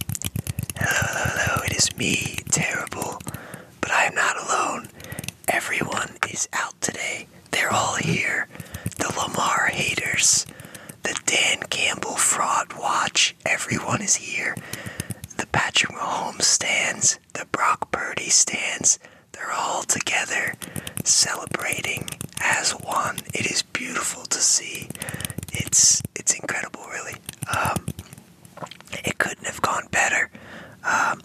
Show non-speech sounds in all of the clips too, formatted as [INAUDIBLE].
Hello, hello, hello, it is me, Terrible, but I am not alone. Everyone is out today. They're all here. The Lamar haters, the Dan Campbell Fraud Watch, everyone is here. The Patrick Mahomes stands, the Brock Purdy stands, they're all together celebrating as one. It is beautiful to see. It's it's incredible really. Um, it couldn't have gone better. Um,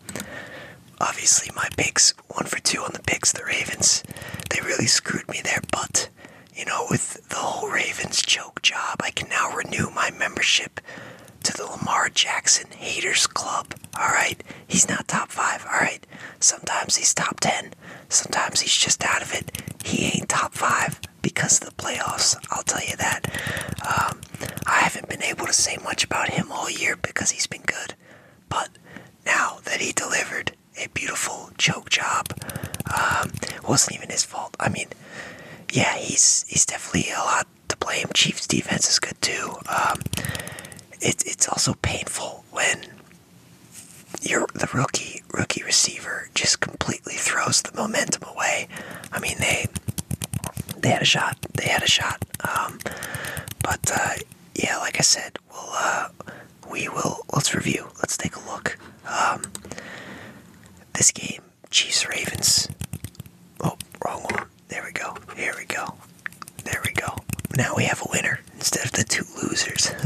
obviously, my picks one for two on the picks. The Ravens, they really screwed me there, but. You know, with the whole Ravens choke job, I can now renew my membership to the Lamar Jackson Haters Club. Alright? He's not top 5, alright? Sometimes he's top 10. Sometimes he's just out of it. He ain't top 5 because of the playoffs. I'll tell you that. Um, I haven't been able to say much about him all year because he's been good. But now that he delivered a beautiful choke job, um, wasn't even his fault. I mean, yeah, he's he's definitely a lot to blame. Chiefs defense is good too. Um, it's also painful when your the rookie rookie receiver just completely throws the momentum away. I mean they they had a shot. They had a shot. Um, but uh, yeah, like I said, we'll uh, we will let's review. Let's take a look. Um, this game, Chiefs Ravens. Oh, wrong one. There we go. Here we go. There we go. Now we have a winner instead of the two losers. [LAUGHS]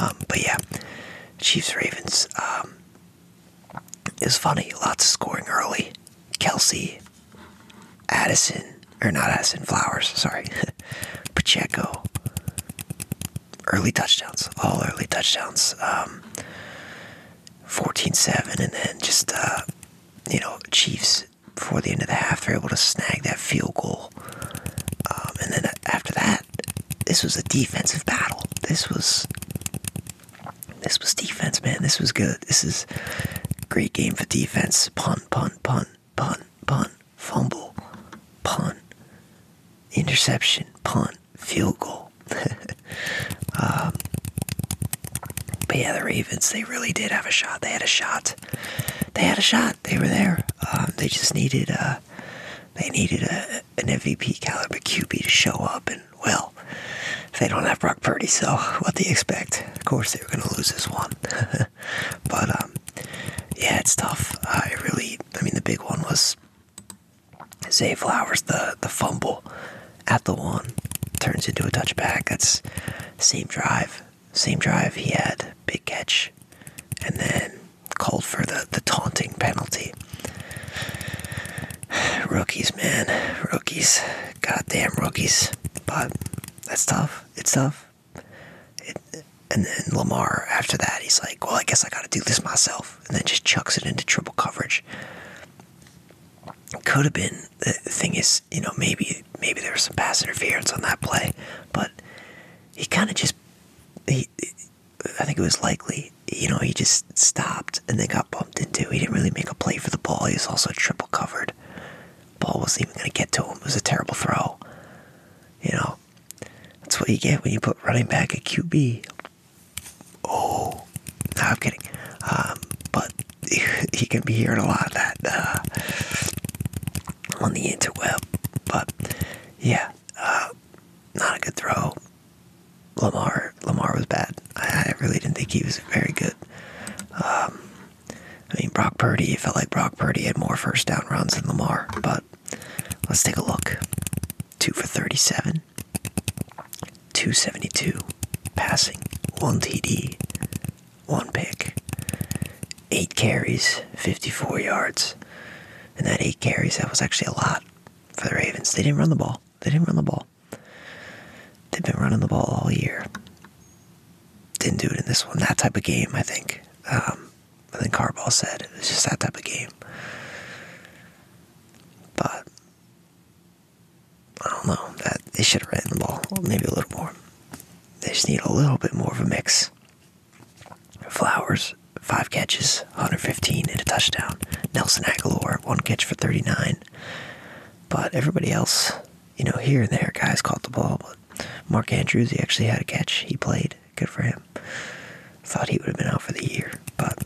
Um, but yeah, Chiefs Ravens um, is funny. Lots of scoring early. Kelsey, Addison, or not Addison, Flowers, sorry. [LAUGHS] Pacheco. Early touchdowns. All early touchdowns. Um, 14-7 and then just uh, you know chiefs before the end of the half they're able to snag that field goal um, and then after that, this was a defensive battle. This was this was defense, man. This was good. This is great game for defense. Punt, punt, punt, punt, punt, fumble, punt, interception, punt, field goal. [LAUGHS] Um, but yeah, the Ravens, they really did have a shot. They had a shot. They had a shot they were there. Um, they just needed a, uh, they needed a, an MVP caliber QB to show up, and well, they don't have Brock Purdy, so what do you expect? Of course, they were going to lose this one. [LAUGHS] but um, yeah, it's tough. I really, I mean, the big one was Zay Flowers, the the fumble at the one turns into a touchback. That's same drive, same drive he had, big catch, and then called for the, the taunting penalty. Rookies, man. Rookies. Goddamn rookies. But that's tough. It's tough. and then Lamar, after that, he's like, well, I guess I got to do this myself. And then just chucks it into triple coverage. Could have been. The thing is, you know, maybe maybe there was some pass interference on that play, but he kind of just he, I think it was likely, you know, he just stopped and then got bumped into. He didn't really make a play for the ball. He was also triple covered. Ball wasn't even going to get to him. It was a terrible throw. You know, that's what you get when you put running back at QB. Oh, I'm kidding. Um, but you [LAUGHS] can be hearing a lot of that uh, on the interweb. But yeah, uh, not a good throw. Lamar, Lamar was bad. I, really didn't think he was very good. Um, I mean, Brock Purdy. It felt like Brock Purdy had more first down runs than Lamar. But let's take a look. Two for thirty-seven, two seventy-two, passing, one TD, one pick eight carries, 54 yards. And that eight carries, that was actually a lot for the Ravens. They didn't run the ball. They didn't run the ball. They've been running the ball all year. Didn't do it in this one. That type of game, I think. Um, I Carball said it was just that type of game. But I don't know that they should have ran the ball maybe a little more. They just need a little bit more of a mix. Flowers, five catches, 115 in a touchdown. Nelson Aguilar, one catch for 39. But everybody else, you know, here and there, guys caught the ball. But Mark Andrews, he actually had a catch. He played. Good for him. Thought he would have been out for the year. But,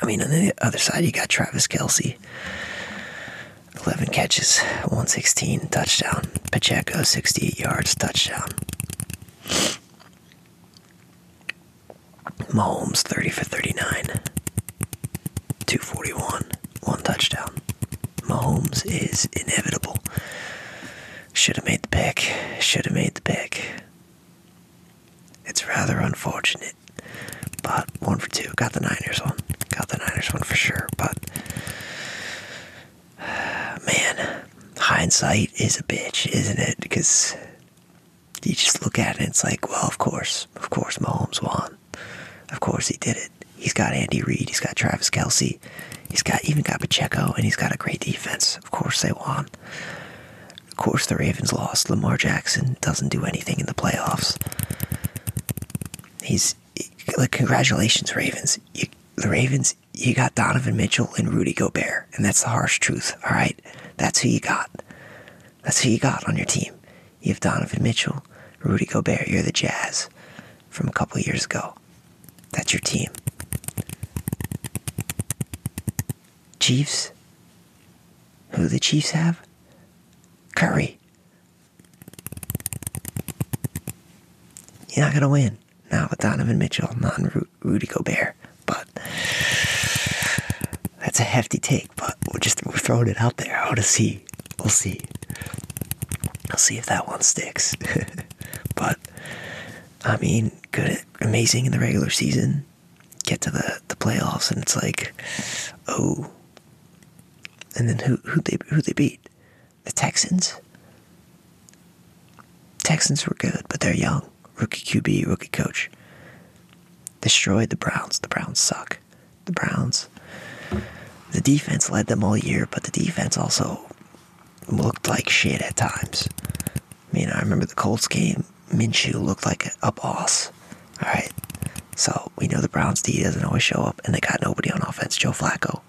I mean, on the other side, you got Travis Kelsey. 11 catches, 116, touchdown. Pacheco, 68 yards, touchdown. Mahomes, 30 for 39, 241, one touchdown. Mahomes is inevitable. Should have made the pick. Should have made the pick. It's rather unfortunate. But one for two. Got the Niners one. Got the Niners one for sure. But [SIGHS] man, hindsight is a bitch, isn't it? Because you just look at it and it's like, well, of course, of course, Mahomes won. Of course, he did it. He's got Andy Reid, he's got Travis Kelsey, he's got even got Pacheco, and he's got a great defense. Of course, they won. Of course, the Ravens lost. Lamar Jackson doesn't do anything in the playoffs. He's like congratulations, Ravens. You, the Ravens, you got Donovan Mitchell and Rudy Gobert, and that's the harsh truth. All right, that's who you got. That's who you got on your team. You have Donovan Mitchell, Rudy Gobert. You're the Jazz from a couple years ago. That's your team. Chiefs. Who the Chiefs have? Curry. You're not going to win. now with Donovan Mitchell, not Rudy Gobert. But that's a hefty take, but we're just we're throwing it out there. I want to see. We'll see. I'll see if that one sticks. [LAUGHS] but, I mean, good, amazing in the regular season. Get to the, the playoffs, and it's like, oh. And then who who they who they beat? The Texans. Texans were good, but they're young. Rookie QB, rookie coach. Destroyed the Browns. The Browns suck. The Browns. The defense led them all year, but the defense also looked like shit at times. I mean, I remember the Colts game. Minshew looked like a boss. All right, so we know the Browns D doesn't always show up, and they got nobody on offense. Joe Flacco.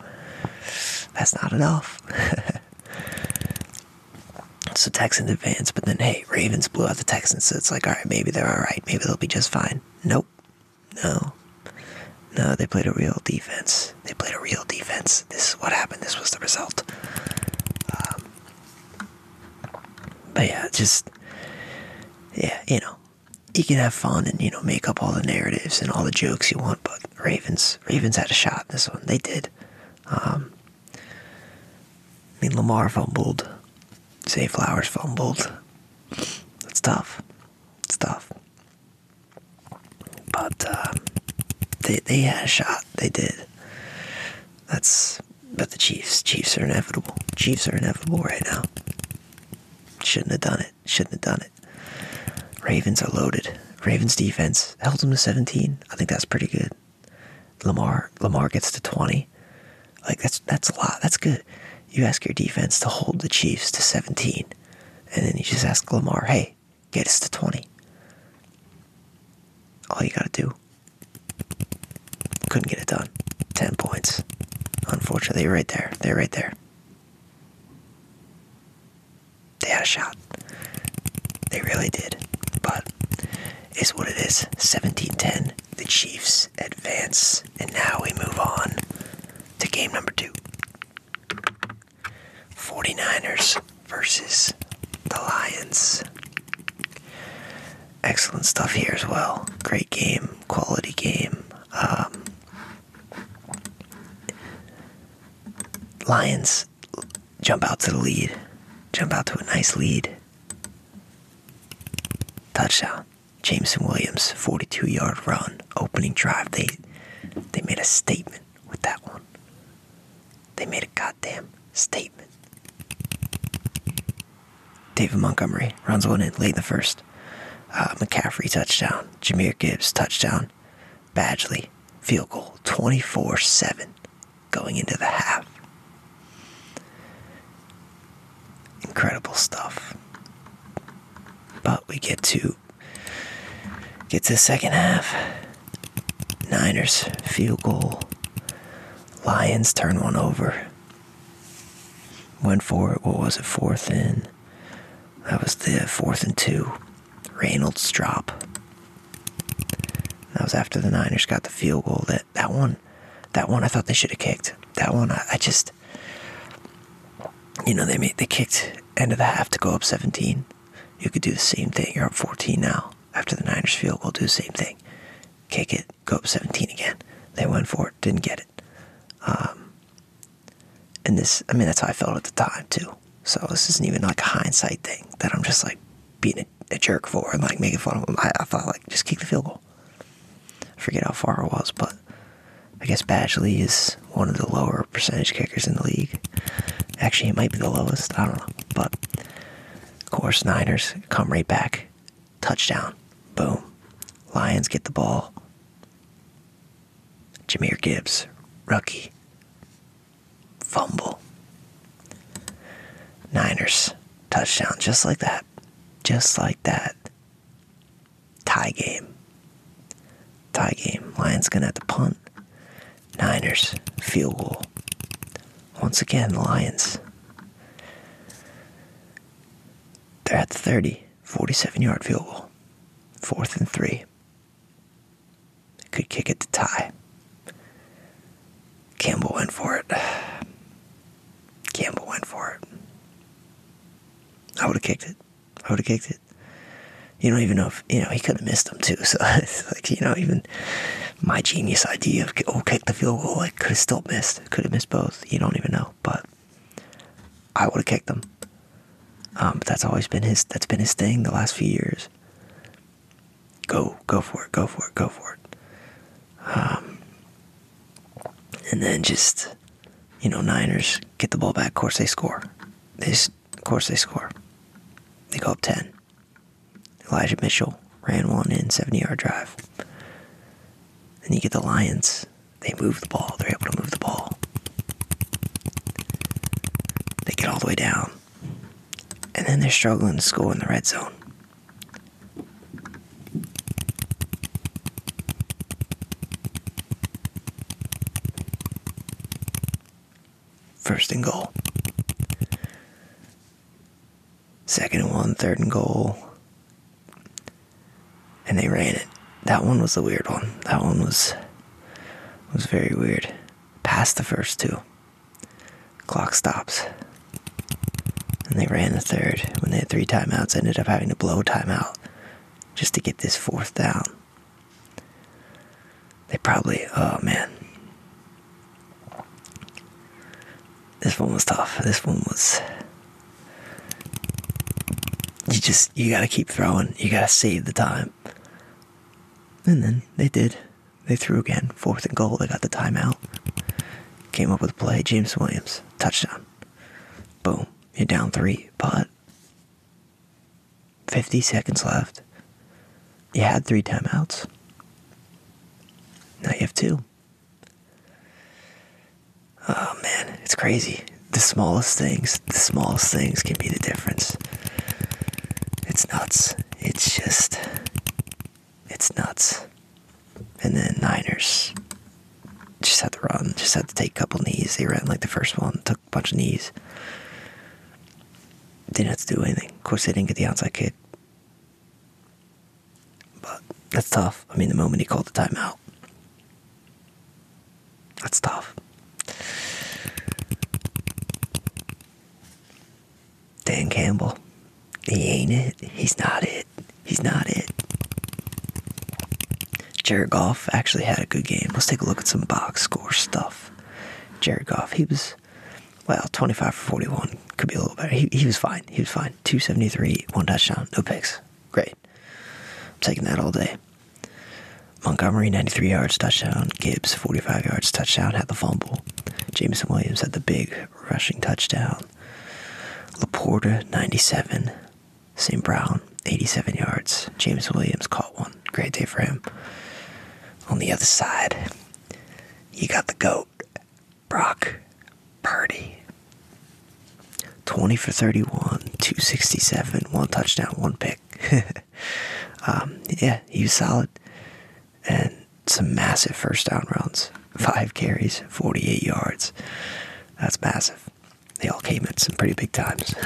That's not enough. [LAUGHS] so Texans advance, but then hey, Ravens blew out the Texans, so it's like, all right, maybe they're all right. Maybe they'll be just fine. Nope. No. No, they played a real defense. They played a real defense. This is what happened. This was the result. Um, but yeah, just yeah, you know, you can have fun and you know make up all the narratives and all the jokes you want. But Ravens, Ravens had a shot in this one. They did. Um, I mean, Lamar fumbled. Say Flowers fumbled. It's tough. It's tough. But uh, they they had a shot. They did. That's but the Chiefs. Chiefs are inevitable. Chiefs are inevitable right now. Shouldn't have done it. Shouldn't have done it. Ravens are loaded. Ravens defense held them to 17. I think that's pretty good. Lamar Lamar gets to 20. Like that's that's a lot. That's good. You ask your defense to hold the Chiefs to 17, and then you just ask Lamar, "Hey, get us to 20." All you gotta do couldn't get it done. 10 points. Unfortunately, right there. They're right there. They had a shot. They really did. But it's what it Seventeen ten. The Chiefs advance. And now we move on to game number two. 49ers versus the Lions excellent stuff here as well. Great game, quality game. Um, Lions jump out to the lead, jump out to a nice lead. Touchdown. Jameson Williams, 42 yard run, opening drive. They they made a statement with that one. They made a goddamn statement. David Montgomery runs one in late in the first. Uh, McCaffrey touchdown. Jameer Gibbs touchdown. Badgley field goal 24 7 going into the half. Incredible stuff. But we get to get to second half. Niners field goal. Lions turn one over. Went for it. What was it? Fourth and that was the fourth and two. Reynolds drop. That was after the Niners got the field goal. That that one, that one I thought they should have kicked. That one I, I just, you know, they made they kicked end of the half to go up 17. You could do the same thing. You're up 14 now. After the Niners field goal, do the same thing. Kick it go up 17 again. They went for it, didn't get it. Um, and this, I mean, that's how I felt at the time too. So this isn't even like a hindsight thing that I'm just like being a, jerk for and like making fun of them. I, thought like just kick the field goal. forget how far it was, but I guess Batchley is one of the lower percentage kickers in the league. Actually, it might be the lowest. I don't know, but of course, Niners come right back. Touchdown. Boom. Lions get the ball. Jameer Gibbs, rookie. Fumble. Niners, touchdown. Just like that. Just like that. Tie game. Tie game. Lions gonna have to punt. Niners, field goal. Once again, Lions. They're at the 30, 47 yard field goal, fourth and three. Could kick it to tie. Campbell went for it. [SIGHS] Campbell went for it. I would have kicked it. I would have kicked it. You don't even know if, you know, he could have missed them too. [LAUGHS] So it's like, you know, even my genius idea of, oh, kick the field goal, like, could have still missed. Could have missed both. You don't even know. But I would have kicked them. Um, but that's always been his. That's been his thing the last few years. Go, go for it. Go for it. Go for it. Um, and then just, you know, Niners get the ball back. Of course they score. They, of course they score. They go up ten. Elijah Mitchell ran one in 70 yard drive. Then you get the Lions. They move the ball. They're able to move the ball. They get all the way down. And then they're struggling to score in the red zone. First and goal. Second and one, third and goal. And they ran it. That one was the weird one. That one was was very weird. Past the first two. Clock stops. And they ran the third. When they had three timeouts, ended up having to blow timeout just to get this fourth down. They probably, oh man, this one was tough. This one was. You just, you gotta keep throwing. You gotta save the time. And then they did. They threw again. Fourth and goal. They got the timeout. Came up with a play. James Williams. Touchdown. Boom. You're down three. But 50 seconds left. You had three timeouts. Now you have two. Oh man, it's crazy. The smallest things, the smallest things can be the difference. It's nuts. It's just, it's nuts. And then Niners just had to run, just had to take a couple knees. They ran like the first one, took a bunch of knees. Didn't have to do anything. Of course, they didn't get the outside kick. But that's tough. I mean, the moment he called the timeout, that's tough. Dan Campbell, he ain't it. He's not it. He's not it. Jared Goff actually had a good game. Let's take a look at some box score stuff. Jared Goff, he was was, well, 25 for 41. Could be a little better. He, was fine. He was fine. 273, one touchdown, no picks. Great. taking that all day. Montgomery, 93 yards, touchdown. Gibbs, 45 yards, touchdown, had the fumble. Jameson Williams had the big rushing touchdown. Laporta, 97. St. Brown, 87 yards. James Williams caught one. Great day for him. On the other side, you got the GOAT. Brock Purdy. 20 for 31, 267, one touchdown, one pick. [LAUGHS] Um, yeah, he was solid. And some massive first down runs. Five carries, 48 yards. That's massive. They all came at some pretty big times. [LAUGHS]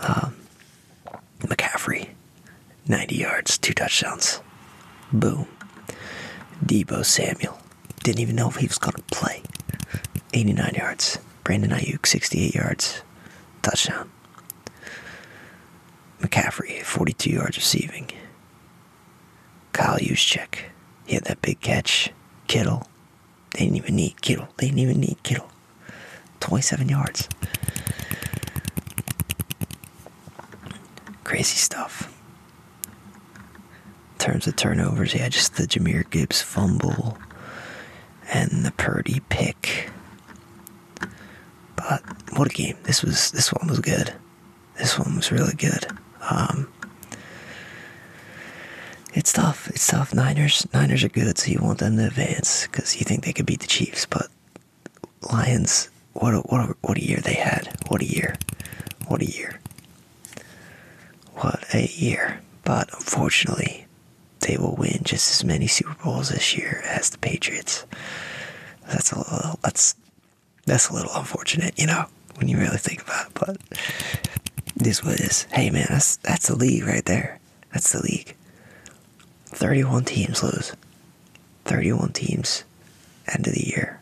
Um, McCaffrey, 90 yards, two touchdowns. Boom. Debo Samuel. Didn't even know if he was going to play. 89 yards. Brandon Ayuk, 68 yards. Touchdown. McCaffrey, 42 yards receiving. Kyle Juszczyk. He had that big catch. Kittle. They didn't even need Kittle. They didn't even need Kittle. 27 yards. Crazy stuff. In terms of turnovers, yeah, just the Jameer Gibbs fumble and the Purdy pick. But what a game! This was this one was good. This one was really good. Um, it's tough. It's tough. Niners Niners are good, so you want them to advance because you think they could beat the Chiefs, but Lions, what a, what a, what a year they had! What a year! What a year! What a year! But unfortunately, they will win just as many Super Bowls this year as the Patriots. That's a little, that's that's a little unfortunate, you know, when you really think about it. But this what is? hey man, that's that's the league right there. That's the league. 31 teams lose. 31 teams end of the year.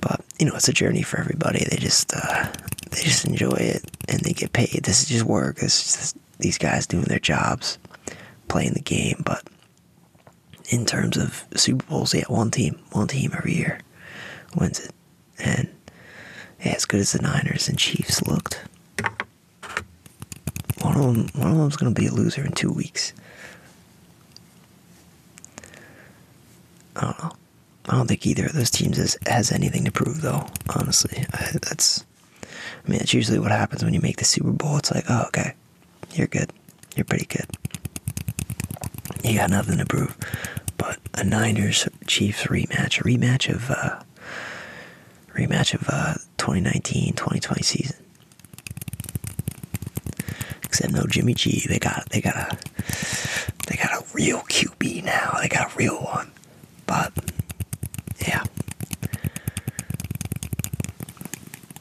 But you know, it's a journey for everybody. They just uh, they just enjoy it and they get paid. This is just work. This is these guys doing their jobs, playing the game. But in terms of Super Bowls, yeah, one team, one team every year wins it. And yeah, as good as the Niners and Chiefs looked, one of them, one of them's gonna be a loser in two weeks. I don't know. I don't think either of those teams has, has anything to prove, though. Honestly, that's. I mean, that's usually what happens when you make the Super Bowl. It's like, oh, okay, you're good. You're pretty good. You got nothing to prove. But a Niners Chiefs rematch, a rematch of, uh, rematch of uh, 2019-2020 season. Except no Jimmy G. They got they got a they got a real QB now. They got a real one. But yeah.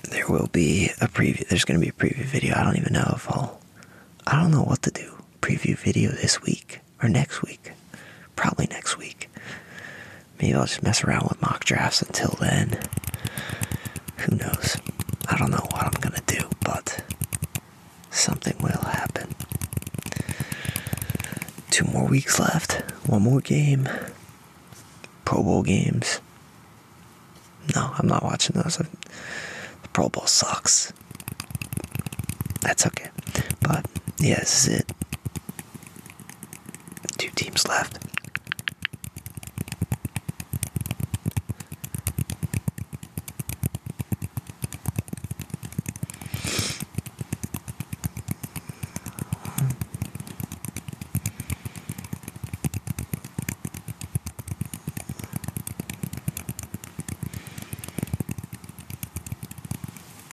There will be a preview there's gonna be a preview video. I don't even know if I'll I don't know what to do. Preview video this week or next week. Probably next week. Maybe I'll just mess around with mock drafts until then. Who knows? I don't know what I'm gonna do, but something will happen. Two more weeks left. One more game. Pro Bowl games. No, I'm not watching those. Pro Bowl sucks. That's okay. But yes, it. Two teams left.